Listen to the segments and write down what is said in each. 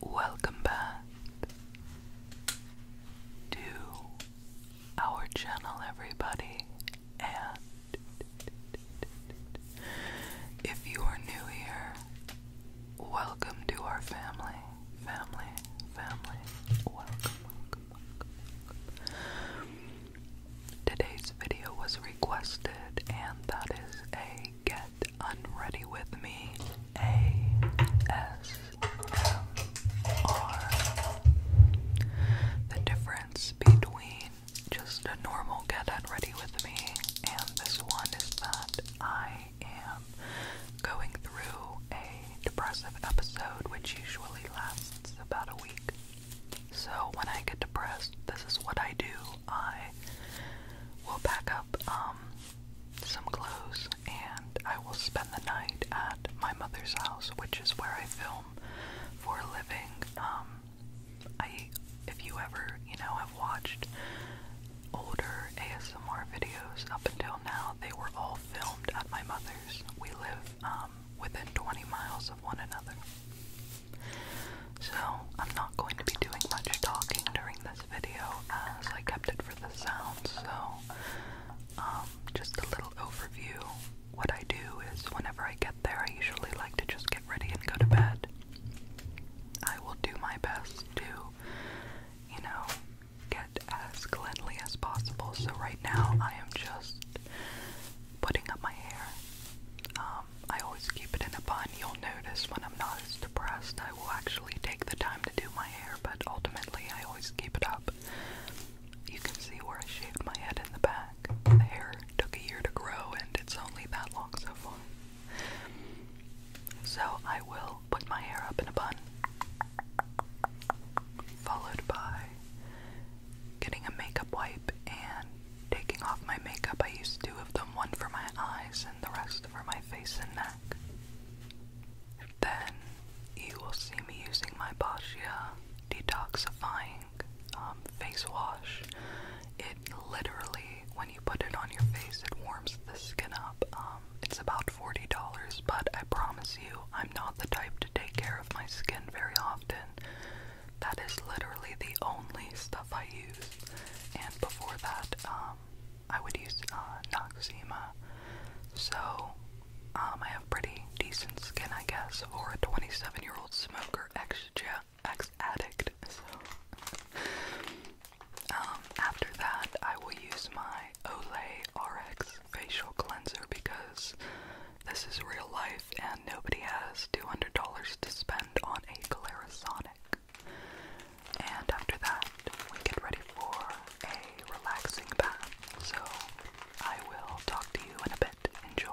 Welcome back to our channel, everybody. And if you are new here, welcome to our family, family, family. Welcome, welcome, Today's video was requested, and that is a get unready with me ASMR. The difference between just a normal get unready with me and this one is that I am going through a depressive episode which usually lasts about a week. So when I get depressed, this is what I do I will pack up um, some clothes and I will spend the night at my mother's house, which is where I film for a living. Um, if you ever, you know, have watched older ASMR videos up until now, they were all filmed at my mother's. We live um, within 20 miles of one another. So, I'm not going to be doing much talking during this video as I kept it for the sound. So, um, just a little overview. What I do is whenever I get there, I usually like to just get ready and go to bed. I will do my best to, you know, get as cleanly as possible. So, right now, I am just putting up my hair. Um, I always keep it in a bun. You'll notice when I'm not as depressed, I will actually take the time to do my hair, but ultimately, I always keep it up. You can see where I shaved my head in the back. The hair took a year to grow, and it's only that long so far. So, I will put my hair up in a bun, followed by getting a makeup wipe and taking off my makeup. I used two of them one for my eyes and the rest first my face and neck. Then you will see me using my Boschia detoxifying um, face wash. It literally, when you put it on your face, it warms the skin up. Um, it's about $40, but I promise you, I'm not the type to take care of my skin very often. That is literally the only stuff I use. And before that, um, um, I would use uh, Noxema. So um, I have pretty decent skin, I guess, for a 27-year-old smoker, ex-addict. Ex so um, after that, I will use my Olay RX facial cleanser because this is real life and nobody has $200 to spend on a Clarisonic. And after that, we get ready for a relaxing bath. So I will talk to you in a bit. Enjoy.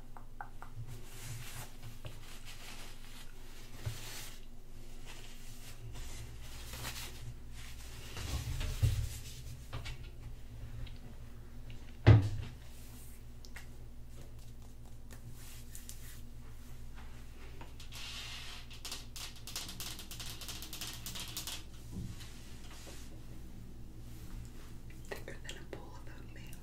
Thicker than a bowl of oatmeal.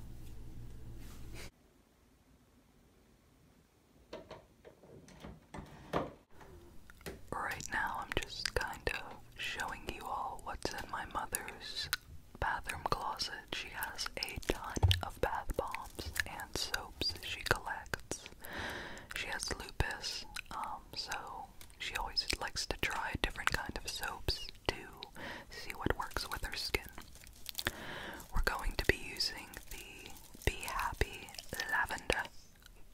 Right now, I'm just kind of showing you all what's in my mother's bathroom closet. She has a ton of bath bombs and soaps she collects. She has lupus, um, so she always likes to try different kind of soaps to see what works with her skin. We're going to be using the Be Happy Lavender.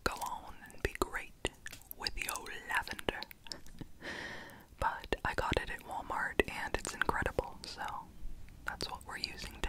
Go on and be great with the old lavender. but I got it at Walmart and it's incredible, so that's what we're using today.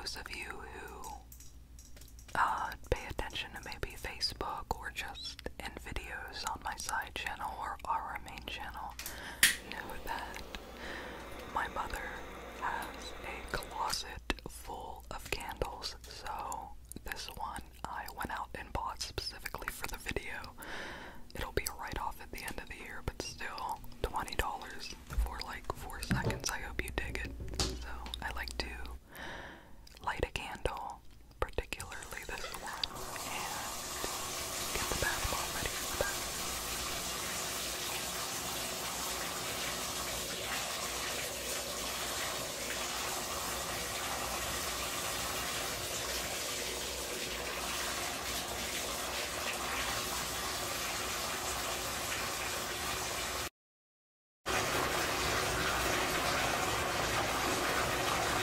Those of you who uh, pay attention to maybe Facebook or just podcast and videos on my side channel or our main channel know that my mother has a closet full of candles, so this one I went out and bought specifically for the video. It'll be a write off at the end of the year, but still $20 for like 4 seconds. I hope you dig it. So I like to light a candle particularly this one, and get the bath ball ready for the bath.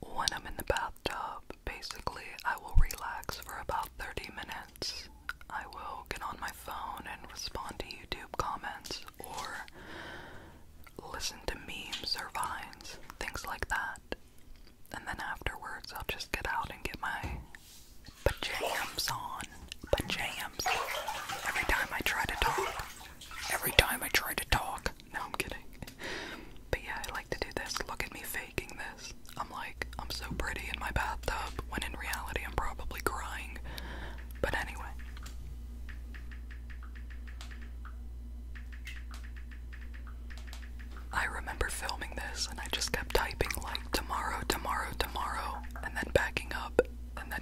When I'm in the bathtub, basically, I will relax for about 30 minutes. I will get on my phone and respond to YouTube comments or listen to memes or vines, things like that and then afterwards I'll just get out and get my pajamas on. Pajamas. Every time I try to talk. Every time I try to talk. No, I'm kidding. But yeah, I like to do this. Look at me faking this. I'm like, I'm so pretty in my bathtub when in reality I'm probably crying. But anyway. I remember filming this and I just kept typing like tomorrow, tomorrow, tomorrow, and then backing up and then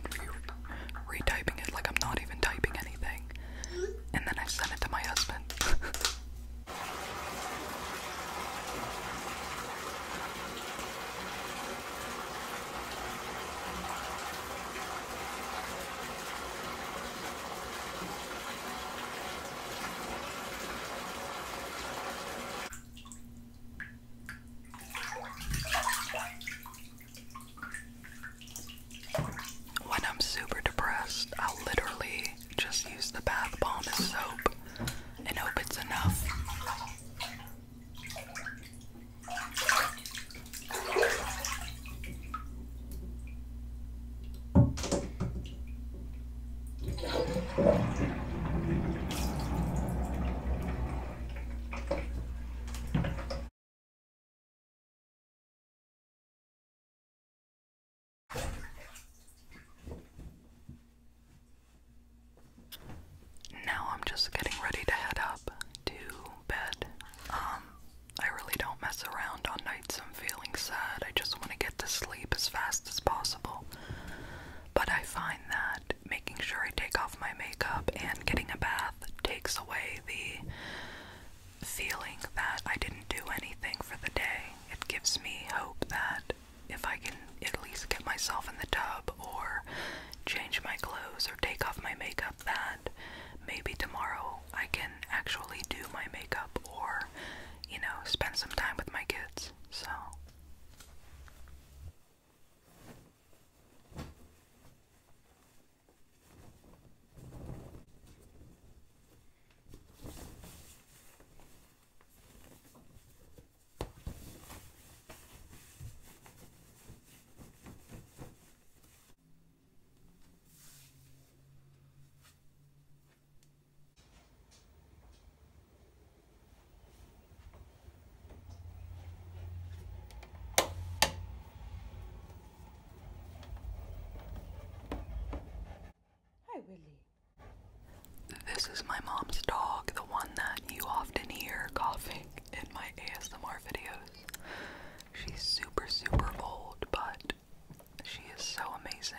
retyping it like I'm not even typing anything. And then I sent it to my husband. When I'm super depressed, I'll literally just use the bath bomb as soap and hope it's enough. Now I'm just getting ready to head up to bed. Um, I really don't mess around on nights I'm feeling sad, I just want to get to sleep as fast as possible. But I find that making sure I take off my makeup and getting a bath takes away the feeling that I didn't do anything for the day. It gives me hope that if I can at least get myself in the tub or change my clothes or take off my makeup, that maybe tomorrow I can actually do my makeup or you know, spend some time with my kids. So. This is my mom's dog, the one that you often hear coughing in my ASMR videos. She's super, super old, but she is so amazing.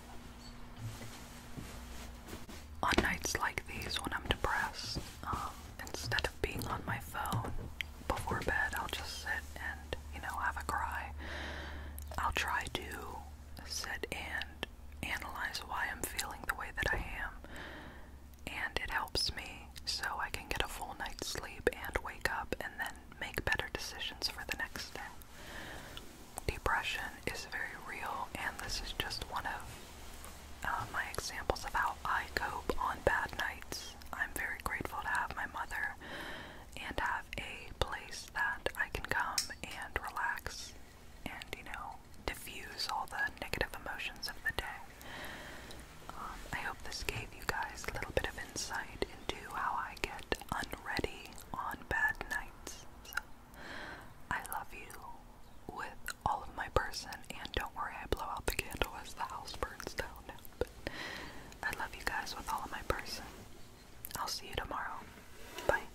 On nights like these, when I'm depressed, um, instead of being on my phone before bed, I'll just sit and, you know, have a cry. I'll try to sit and analyze why I'm feeling the way that I am, and it helps me so I can get a full night's sleep and wake up and then make better decisions for the next day. Depression is very real, and this is just one of uh, my examples of how I cope on bad nights. I'm very grateful to have my mother and have a place that I can come and relax and, you know, diffuse all the negative emotions of the day. Um, I hope this gave you guys a little bit of insight into how I get unready on bad nights. I love you with all of my person, and don't worry, I blow out the candle as the house burns down. I love you guys with all of my person. I'll see you tomorrow. Bye.